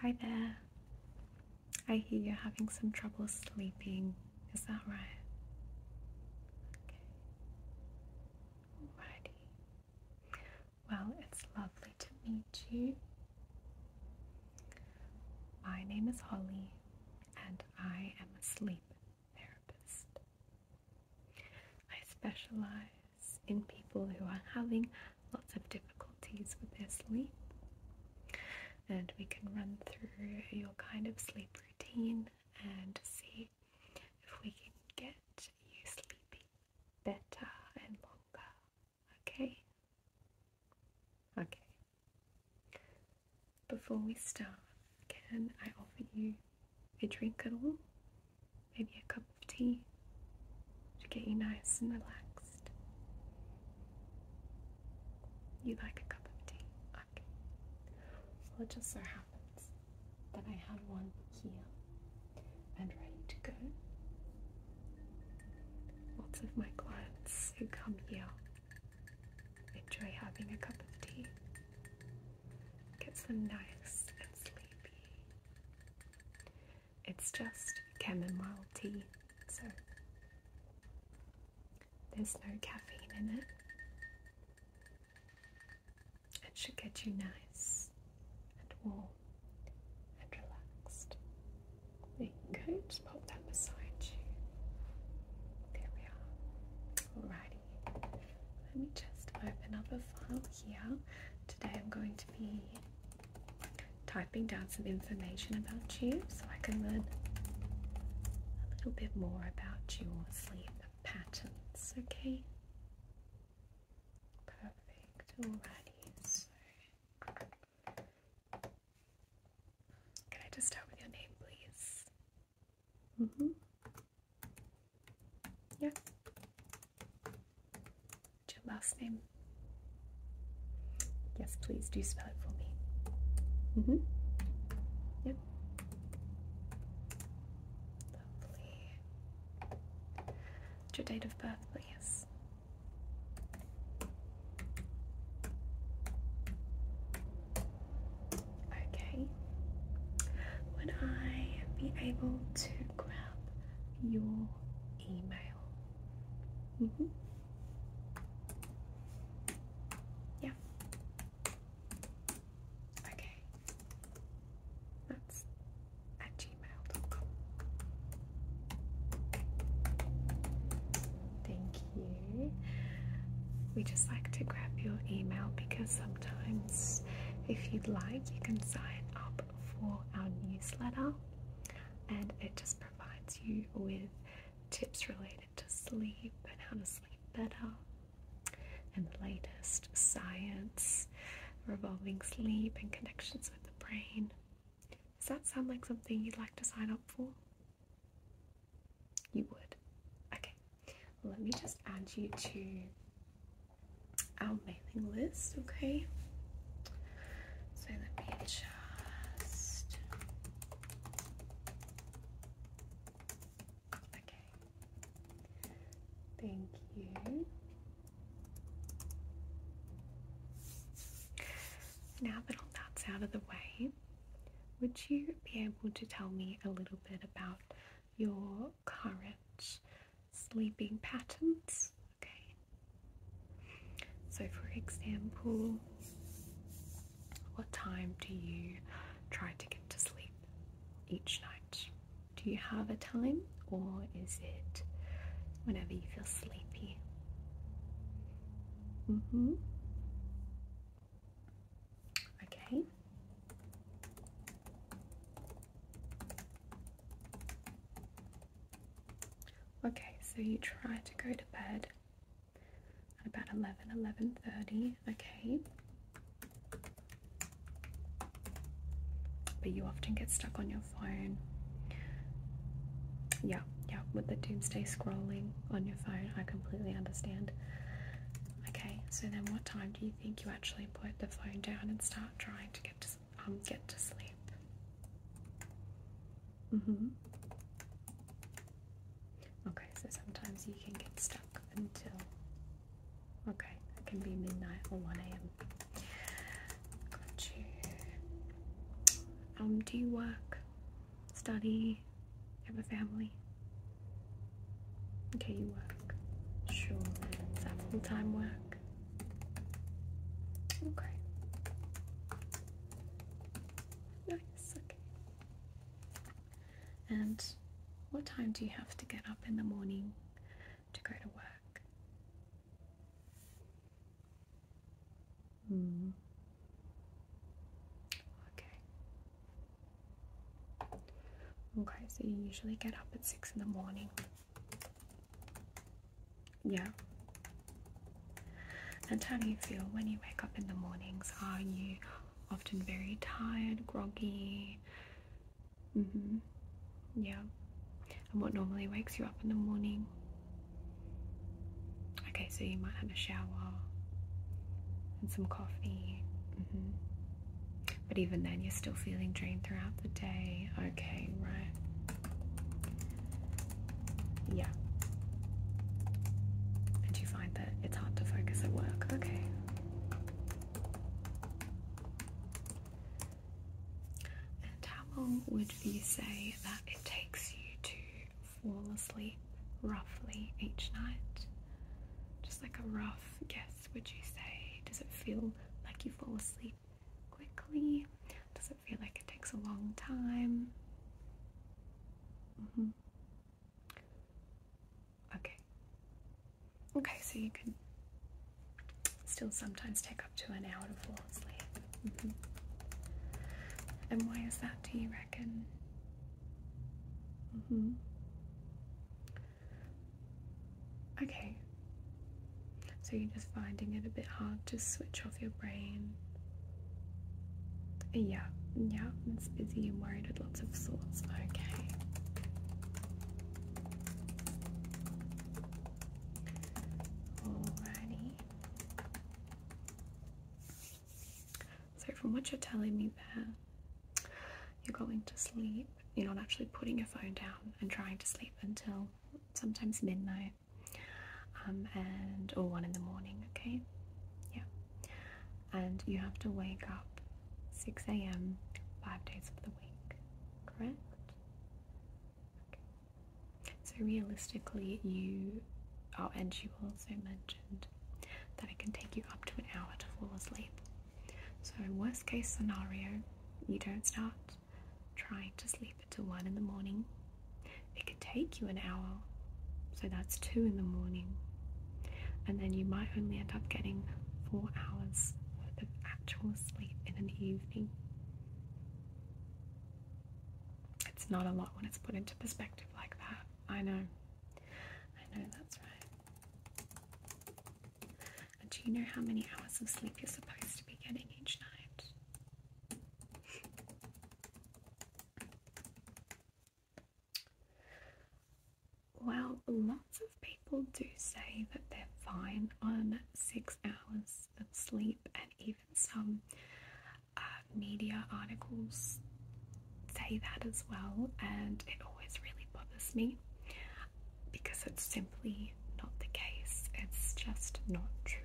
Hi there. I hear you're having some trouble sleeping. Is that right? Alrighty. Well, it's lovely to meet you. My name is Holly, and I am a sleep therapist. I specialize in people who are having lots of difficulties with their sleep. And we can run through your kind of sleep routine and see if we can get you sleeping better and longer. Okay? Okay. Before we start, can I offer you a drink at all? maybe a cup of tea to get you nice and relaxed. You like a cup of tea? Okay. Well, it just so happens that I have one here and ready to go. Lots of my clients who come here enjoy having a cup of tea. Gets them nice and sleepy. It's just chamomile tea, so there's no caffeine in it. It should get you nice and warm and relaxed. Okay, you go, just pop that beside you. There we are. Alrighty, let me just open up a file here. Today I'm going to be typing down some information about you so I can learn a little bit more about your sleep patterns, okay? Perfect, alrighty, so can I just start with your name, please? Mm-hmm. Yeah. What's your last name? Yes, please do spell it for me. Mm hmm. Yep. Lovely. your date of birth, please? Okay. Would I be able to grab your email. -hmm. Yeah. Okay. That's at gmail.com. Thank you. We just like to grab your email because sometimes, if you'd like, you can sign up for our newsletter, and it just provides you with tips related to sleep and how to sleep better, and the latest science revolving sleep and connections with the brain. Does that sound like something you'd like to sign up for? You would. Okay, let me just add you to our mailing list, okay? So let me just okay. Thank you. Now that all that's out of the way, would you be able to tell me a little bit about your current sleeping patterns. Okay, so for example, what time do you try to get to sleep each night? Do you have a time, or is it whenever you feel sleepy? Mm hmm. Okay. Okay, so you try to go to bed at about 11, 11.30, okay. But you often get stuck on your phone. Yeah, yeah, with the doomsday scrolling on your phone, I completely understand. Okay, so then what time do you think you actually put the phone down and start trying to get to sleep? helps um, get to sleep. Mm-hmm. Okay, so sometimes you can get stuck until. Okay, it can be midnight or 1 a.m. Got you. Um, do you work, study, have a family? Okay, you work. Sure. Is that full time work? Okay. Nice, okay. And what time do you have to get up in the morning to go to work? Hmm. Okay. Okay, so you usually get up at six in the morning. Yeah. And how do you feel when you wake up in the mornings? Are you often very tired, groggy? Mm hmm. Yeah. And what normally wakes you up in the morning? Okay, so you might have a shower and some coffee. Mm hmm. But even then, you're still feeling drained throughout the day. Okay, right. Yeah. And you find that it's hard to focus at work. Okay. And how long would you say that it takes you to fall asleep roughly each night? Just like a rough guess would you say? Does it feel like you fall asleep quickly? Does it feel like it takes a long time? Mm-hmm. Okay. Okay, so you can still sometimes take up to an hour to fall asleep. Mm-hmm. And why is that, do you reckon? Mm-hmm. Okay. So you're just finding it a bit hard to switch off your brain. Yeah, yeah, it's busy and worried with lots of thoughts. Okay. Alrighty. So, from what you're telling me there, you're going to sleep. You're not actually putting your phone down and trying to sleep until sometimes midnight um, and or one in the morning. Okay, yeah. And you have to wake up 6 a.m. five days of the week. Correct. So realistically, you. Oh, and you also mentioned that it can take you up to an hour to fall asleep. So, worst case scenario, you don't start trying to sleep until 1 in the morning. It could take you an hour, so that's 2 in the morning. And then you might only end up getting 4 hours worth of actual sleep in an evening. It's not a lot when it's put into perspective like that. I know. I know that's right do you know how many hours of sleep you're supposed to be getting each night? Well, lots of people do say that they're fine on six hours of sleep, and even some uh, media articles say that as well, and it always really bothers me because it's simply not the case. It's just not true.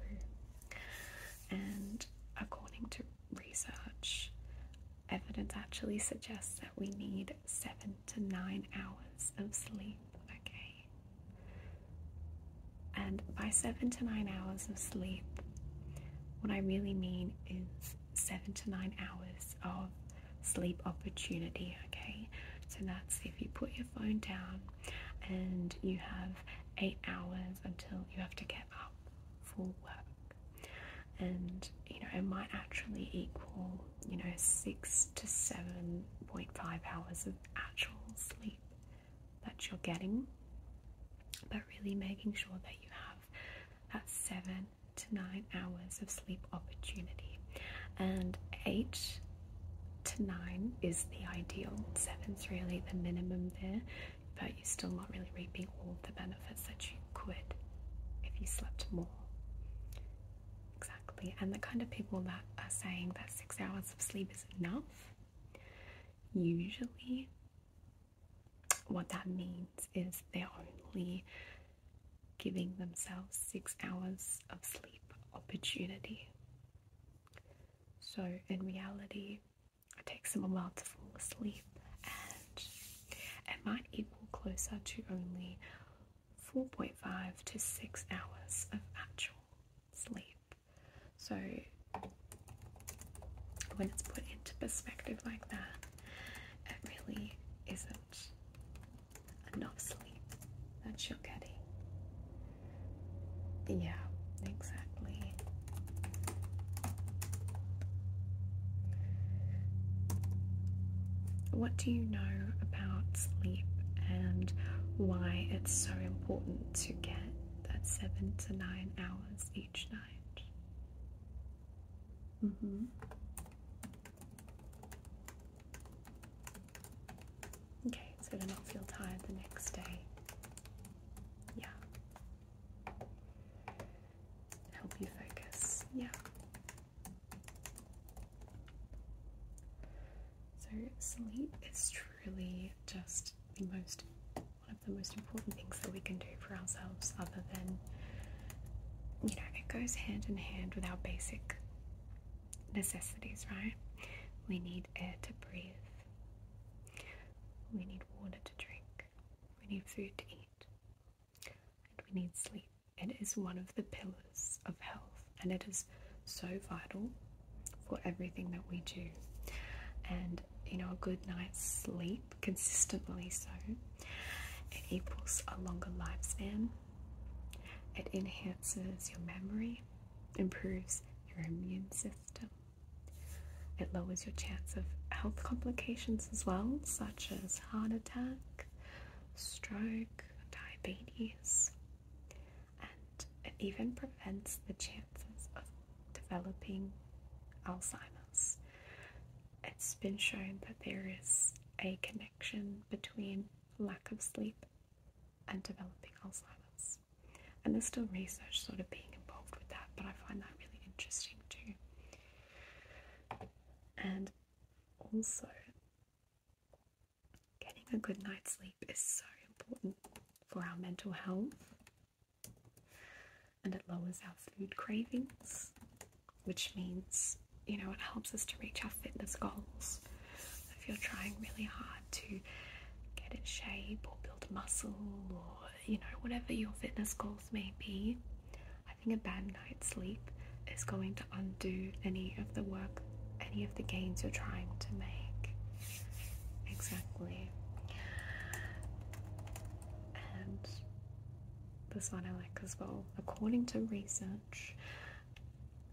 And according to research, evidence actually suggests that we need seven to nine hours of sleep, okay? And by seven to nine hours of sleep, what I really mean is seven to nine hours of sleep opportunity. Okay, so that's if you put your phone down and you have eight hours until you have to get up for work, and you know, it might actually equal you know six to seven point five hours of actual sleep that you're getting, but really making sure that you have that seven to nine hours of sleep opportunity, and eight to nine is the ideal. Seven's really the minimum there, but you're still not really reaping all the benefits that you could if you slept more. Exactly, and the kind of people that are saying that six hours of sleep is enough usually what that means is they're only giving themselves six hours of sleep opportunity. So, in reality, it takes them a while to fall asleep and it might equal closer to only 4.5 to 6 hours of actual sleep. So, when it's put into perspective like that, it really isn't Enough sleep That's your are getting. Yeah, exactly. What do you know about sleep and why it's so important to get that seven to nine hours each night? Mm hmm. Okay, so to not feel tired the next day. Yeah. Help you focus. Yeah. So sleep is truly just the most one of the most important things that we can do for ourselves other than you know, it goes hand in hand with our basic necessities, right? We need air to breathe, we need water to drink, we need food to eat, and we need sleep. It is one of the pillars of health, and it is so vital for everything that we do. And you know, a good night's sleep, consistently so, it equals a longer lifespan, it enhances your memory, improves your immune system. It lowers your chance of health complications as well, such as heart attack, stroke, diabetes, and it even prevents the chances of developing Alzheimer's it's been shown that there is a connection between lack of sleep and developing Alzheimer's. And there's still research sort of being involved with that, but I find that really interesting too. And also, getting a good night's sleep is so important for our mental health and it lowers our food cravings which means you know it helps us to reach our fitness goals. if you're trying really hard to get in shape or build muscle or you know whatever your fitness goals may be, I think a bad night's sleep is going to undo any of the work, any of the gains you're trying to make. Exactly. And this one I like as well. According to research,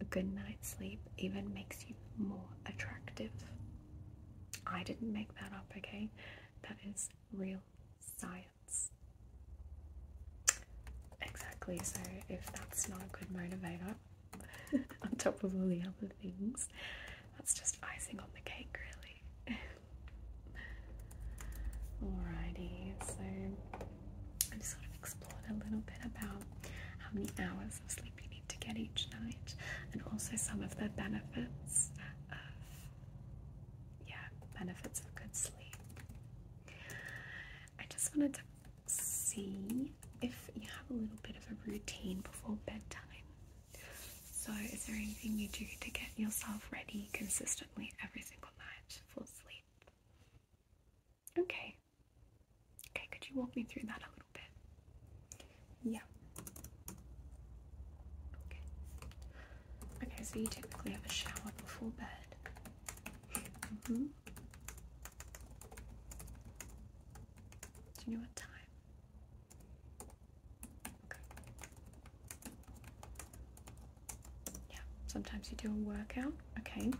a good night's sleep even makes you more attractive. I didn't make that up, okay? That is real science. Exactly, so if that's not a good motivator, on top of all the other things, that's just icing on the cake, really. Alrighty, so I've sort of explored a little bit about how many hours of sleep you need to get each night and also some of the benefits of yeah, benefits of good sleep. I just wanted to see if you have a little bit of a routine before bedtime. So is there anything you do to get yourself ready consistently every single night for sleep? Okay. Okay, could you walk me through that a little bit? Yeah. Okay. Okay, so you typically have a shower before bed. hmm Do you what time? Yeah, sometimes you do a workout. Okay.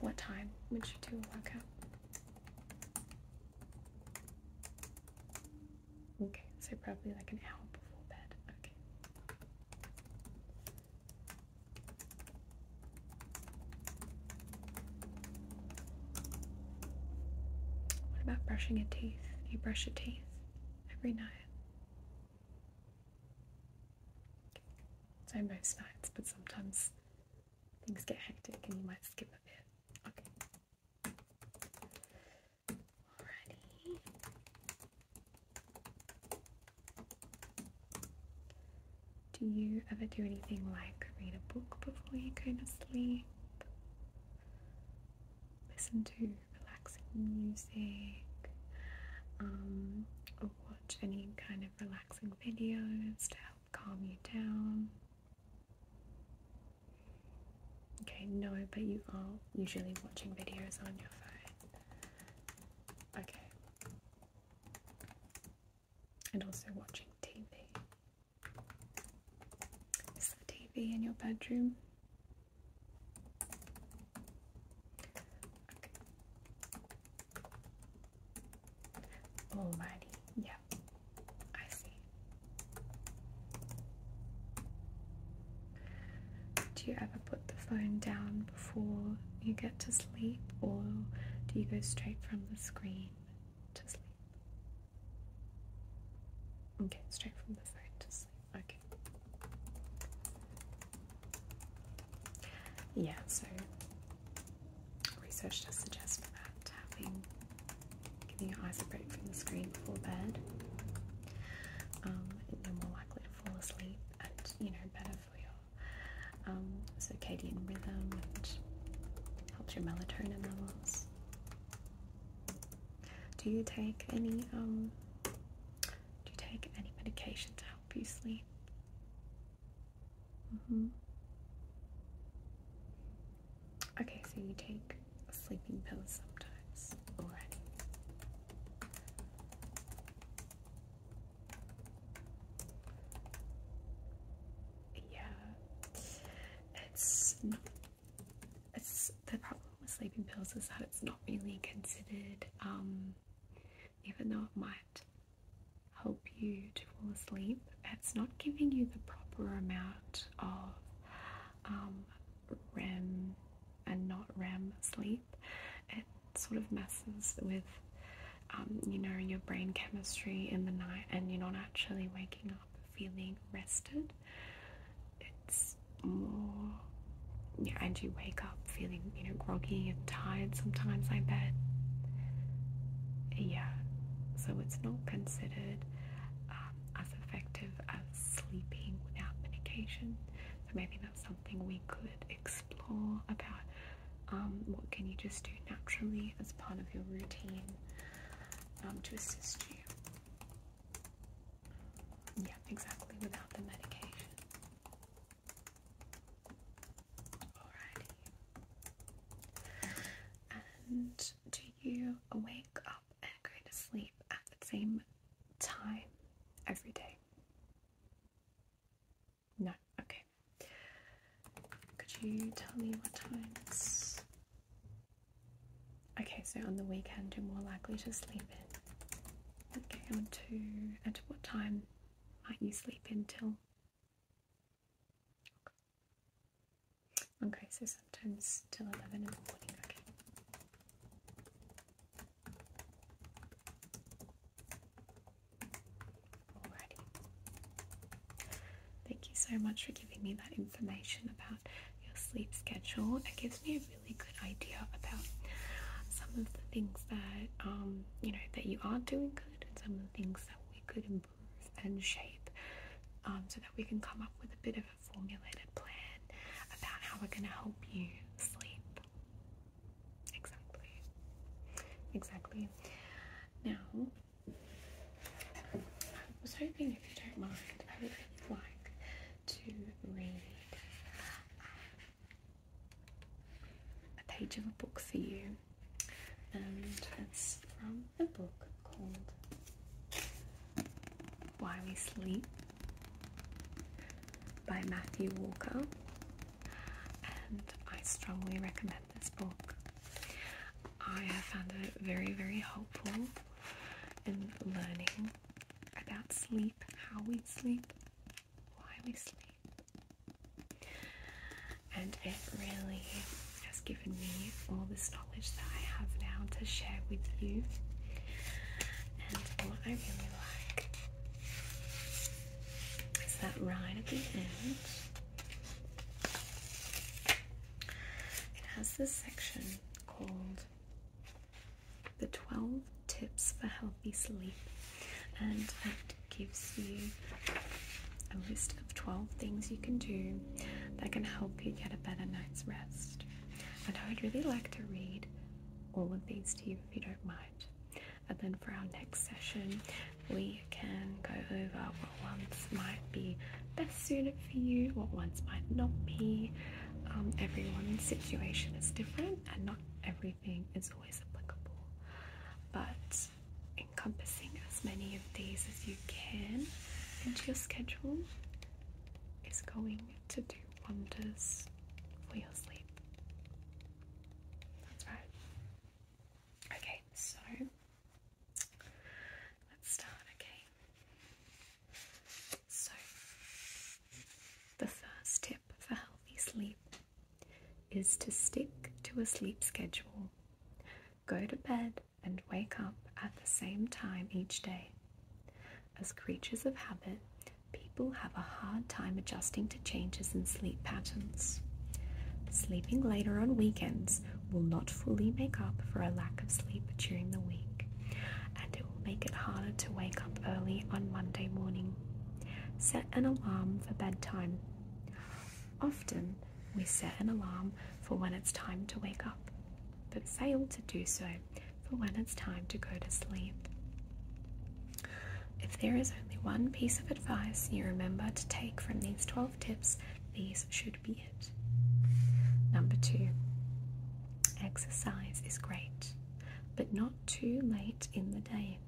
What time would you do a workout? Okay, so probably like an hour before bed. Okay. What about brushing your teeth? Do you brush your teeth every night? So most nights, but sometimes things get hectic and you might skip a bit. Do you ever do anything like read a book before you go to sleep? Listen to relaxing music, um, or watch any kind of relaxing videos to help calm you down. Okay, no, but you are usually watching videos on your phone. Okay. And also watching TV. Is the TV in your bedroom? Alrighty, yeah, I see. Do you ever put the phone down before you get to sleep, or do you go straight from the screen to sleep? Okay, straight from the phone to sleep. Okay. Yeah, so research does suggest that having giving your eyes a break from the screen before bed. Um, you are more likely to fall asleep, and you know, better for your um, circadian rhythm and helps your melatonin levels. Do you take any um, do you take any medication to help you sleep? Mm-hmm. Okay, so you take sleeping pills sometimes already. Yeah, it's it's the problem with sleeping pills is that it's not really considered, um, even though it might help you to fall asleep, it's not giving you the proper amount of um, REM and not REM sleep. It sort of messes with, um, you know, your brain chemistry in the night, and you're not actually waking up feeling rested. It's more, yeah, and you wake up feeling, you know, groggy and tired sometimes, I bet. Yeah, so it's not considered um, as effective as sleeping without medication. So maybe that's something we could explore about um, what can you just do naturally as part of your routine um, to assist you. Yeah, exactly, without the medication. Alrighty. And do you wake up and go to sleep at the same time every day? No, okay. Could you tell me what times Okay, so on the weekend you're more likely to sleep in. Okay, on to what time might you sleep until? Okay, so sometimes till eleven in the morning. Okay. Alrighty. Thank you so much for giving me that information about your sleep schedule. It gives me a really good idea about some of the things that um, you know that you are doing good and some of the things that we could improve and shape um, so that we can come up with a bit of a formulated plan about how we're going to help you sleep exactly exactly now I was hoping if you don't mind I would really like to read a page of a book for you, and it's from a book called Why We Sleep by Matthew Walker, and I strongly recommend this book. I have found it very, very helpful in learning about sleep, how we sleep, why we sleep. And it really has given me all this knowledge that I have now to share with you. And what I really like is that right at the end, it has this section called the 12 tips for healthy sleep and it gives you a list of 12 things you can do that can help you get a better night's rest and I would really like to read all of these to you if you don't mind and then for our next session we can go over what ones might be best best suited for you, what ones might not be. Um, everyone's situation is different, and not everything is always applicable. But encompassing as many of these as you can into your schedule is going to do wonders for your sleep. That's right. Okay, so let's start. Okay, so, the first tip for healthy sleep is to stick to a sleep schedule. Go to bed and wake up at the same time each day. As creatures of habit, people have a hard time adjusting to changes in sleep patterns. Sleeping later on weekends will not fully make up for a lack of sleep during the week, and it make it harder to wake up early on Monday morning. Set an alarm for bedtime. Often we set an alarm for when it's time to wake up, but fail to do so for when it's time to go to sleep. If there is only one piece of advice you remember to take from these 12 tips, these should be Number two, exercise is great, but not too late in the day.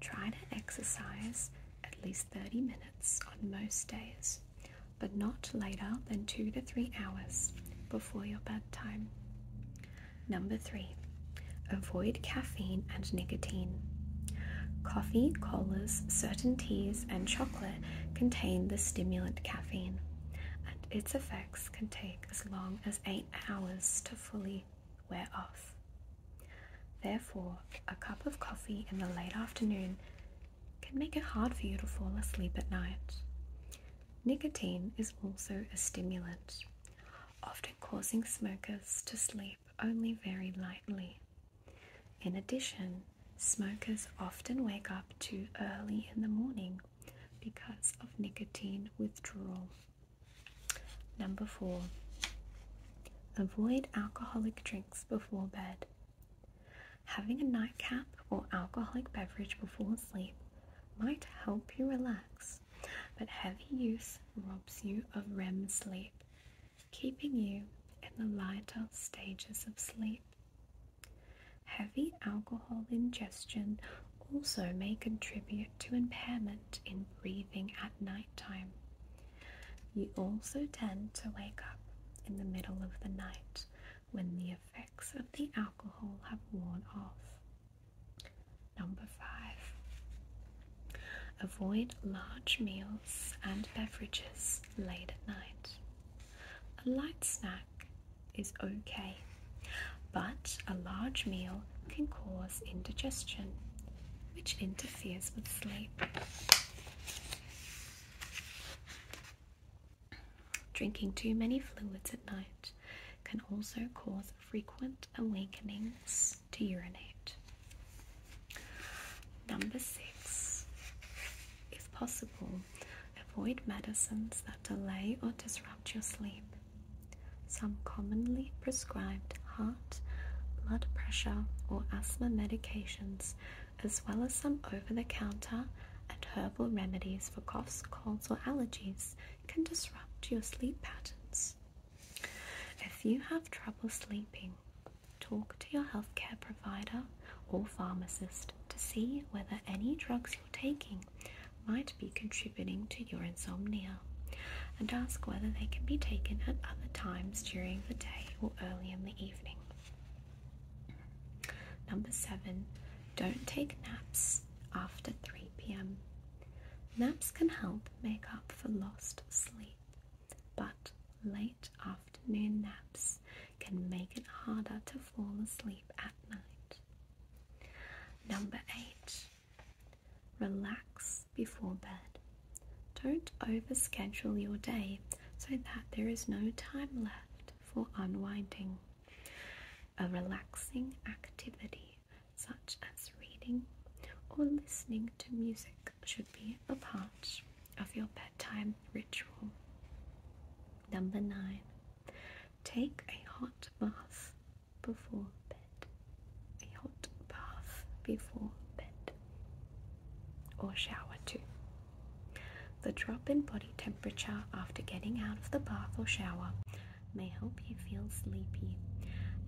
Try to exercise at least 30 minutes on most days, but not later than two to three hours before your bedtime. Number three, avoid caffeine and nicotine. Coffee, colas, certain teas, and chocolate contain the stimulant caffeine, its effects can take as long as eight hours to fully wear off. Therefore, a cup of coffee in the late afternoon can make it hard for you to fall asleep at night. Nicotine is also a stimulant, often causing smokers to sleep only very lightly. In addition, Smokers often wake up too early in the morning because of nicotine withdrawal. Number four, avoid alcoholic drinks before bed. Having a nightcap or alcoholic beverage before sleep might help you relax, but heavy use robs you of REM sleep, keeping you in the lighter stages of sleep. Heavy alcohol ingestion also may contribute to impairment in breathing at night time. You also tend to wake up in the middle of the night when the effects of the alcohol have worn off. Number five, avoid large meals and beverages late at night. A light snack is okay, but a large meal can cause indigestion, which interferes with sleep. Drinking too many fluids at night can also cause frequent awakenings to urinate. Number six, if possible, Avoid medicines that delay or disrupt your sleep. Some commonly prescribed heart, blood pressure, or asthma medications, as well as some over the counter and herbal remedies for coughs, colds, or allergies, can disrupt your sleep patterns. If you have trouble sleeping, talk to your healthcare provider or pharmacist to see whether any drugs you're taking might be contributing to your insomnia and ask whether they can be taken at other times during the day or early in the evening. Number seven, don't take naps after 3 pm. Naps can help make up for lost sleep, but late after afternoon naps can make it harder to fall asleep at night. Number eight, relax before bed. Don't overschedule your day so that there is no time left for unwinding. A relaxing activity such as reading or listening to music should be a part of your bedtime ritual. Number nine, take a hot bath before bed. A hot bath before bed. Or shower too. The drop in body temperature after getting out of the bath or shower may help you feel sleepy,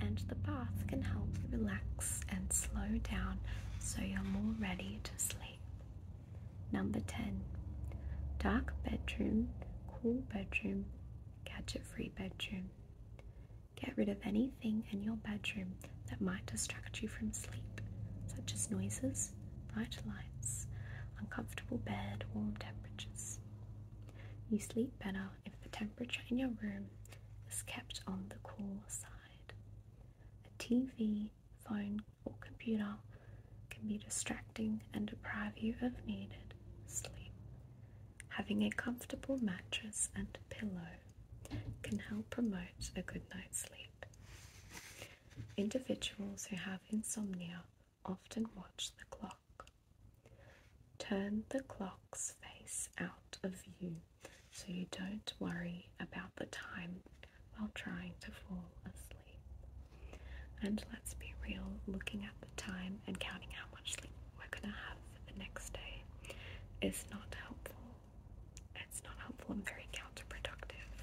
and the bath can help you relax and slow down so you're more ready to sleep. Number 10 Dark bedroom, cool bedroom, gadget free bedroom. Get rid of anything in your bedroom that might distract you from sleep, such as noises, bright lights, uncomfortable bed, warm temperatures. You sleep better if the temperature in your room is kept on the cool side. A TV, phone or computer can be distracting and deprive you of needed sleep. Having a comfortable mattress and pillow can help promote a good night's sleep. Individuals who have insomnia often watch the clock. Turn the clock's face out of view so you don't worry about the time while trying to fall asleep. And let's be real, looking at the time and counting how much sleep we're going to have for the next day is not helpful. It's not helpful and very counterproductive.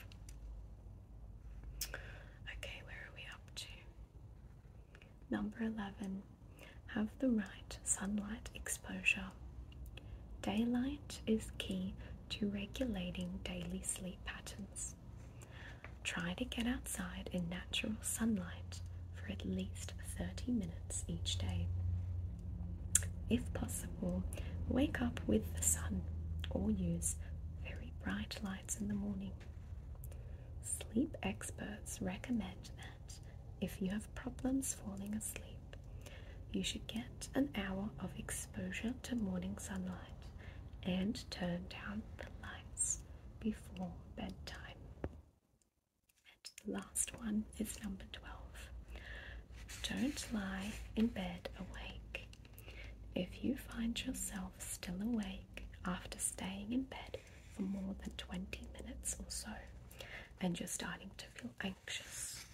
Okay, where are we up to? Number 11. Have the right sunlight exposure. Daylight is key to regulating daily sleep patterns. Try to get outside in natural sunlight for at least 30 minutes each day. If possible, wake up with the sun or use very bright lights in the morning. Sleep experts recommend that if you have problems falling asleep, you should get an hour of exposure to morning sunlight and turn down the lights before bedtime. And the last one is number 12. Don't lie in bed awake. If you find yourself still awake after staying in bed for more than 20 minutes or so, and you're starting to feel anxious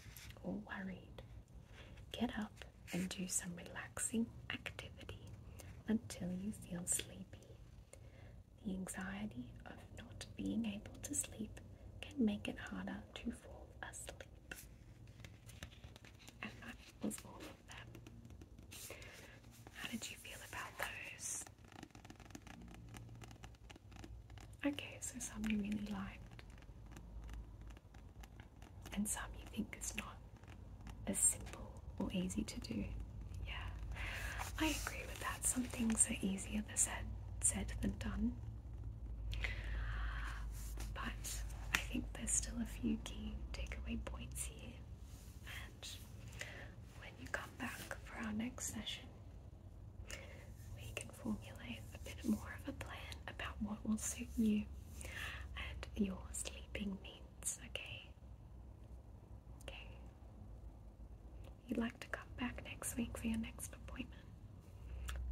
or worried Get up and do some relaxing activity until you feel sleepy. The anxiety of not being able to sleep can make it harder to fall asleep. And that was all of them. How did you feel about those? Okay, so some you really liked and some you think is not as simple or easy to do. Yeah, I agree with that. Some things are easier said, said than done. But I think there's still a few key takeaway points here. And when you come back for our next session, we can formulate a bit more of a plan about what will suit you and your sleeping needs, okay? Okay. You'd like to come back next week for your next appointment?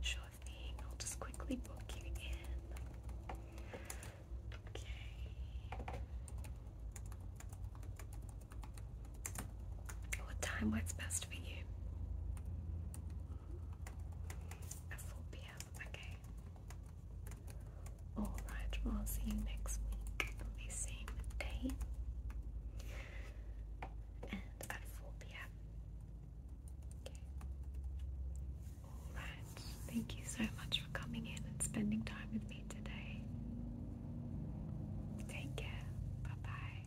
Sure thing. I'll just quickly book you in. Okay. What time works best for you? At 4 pm, okay. Alright, well, will see you next week on the same day. And at 4 pm. Okay. Alright, thank you so much for coming in and spending time with me today. Take care. Bye bye.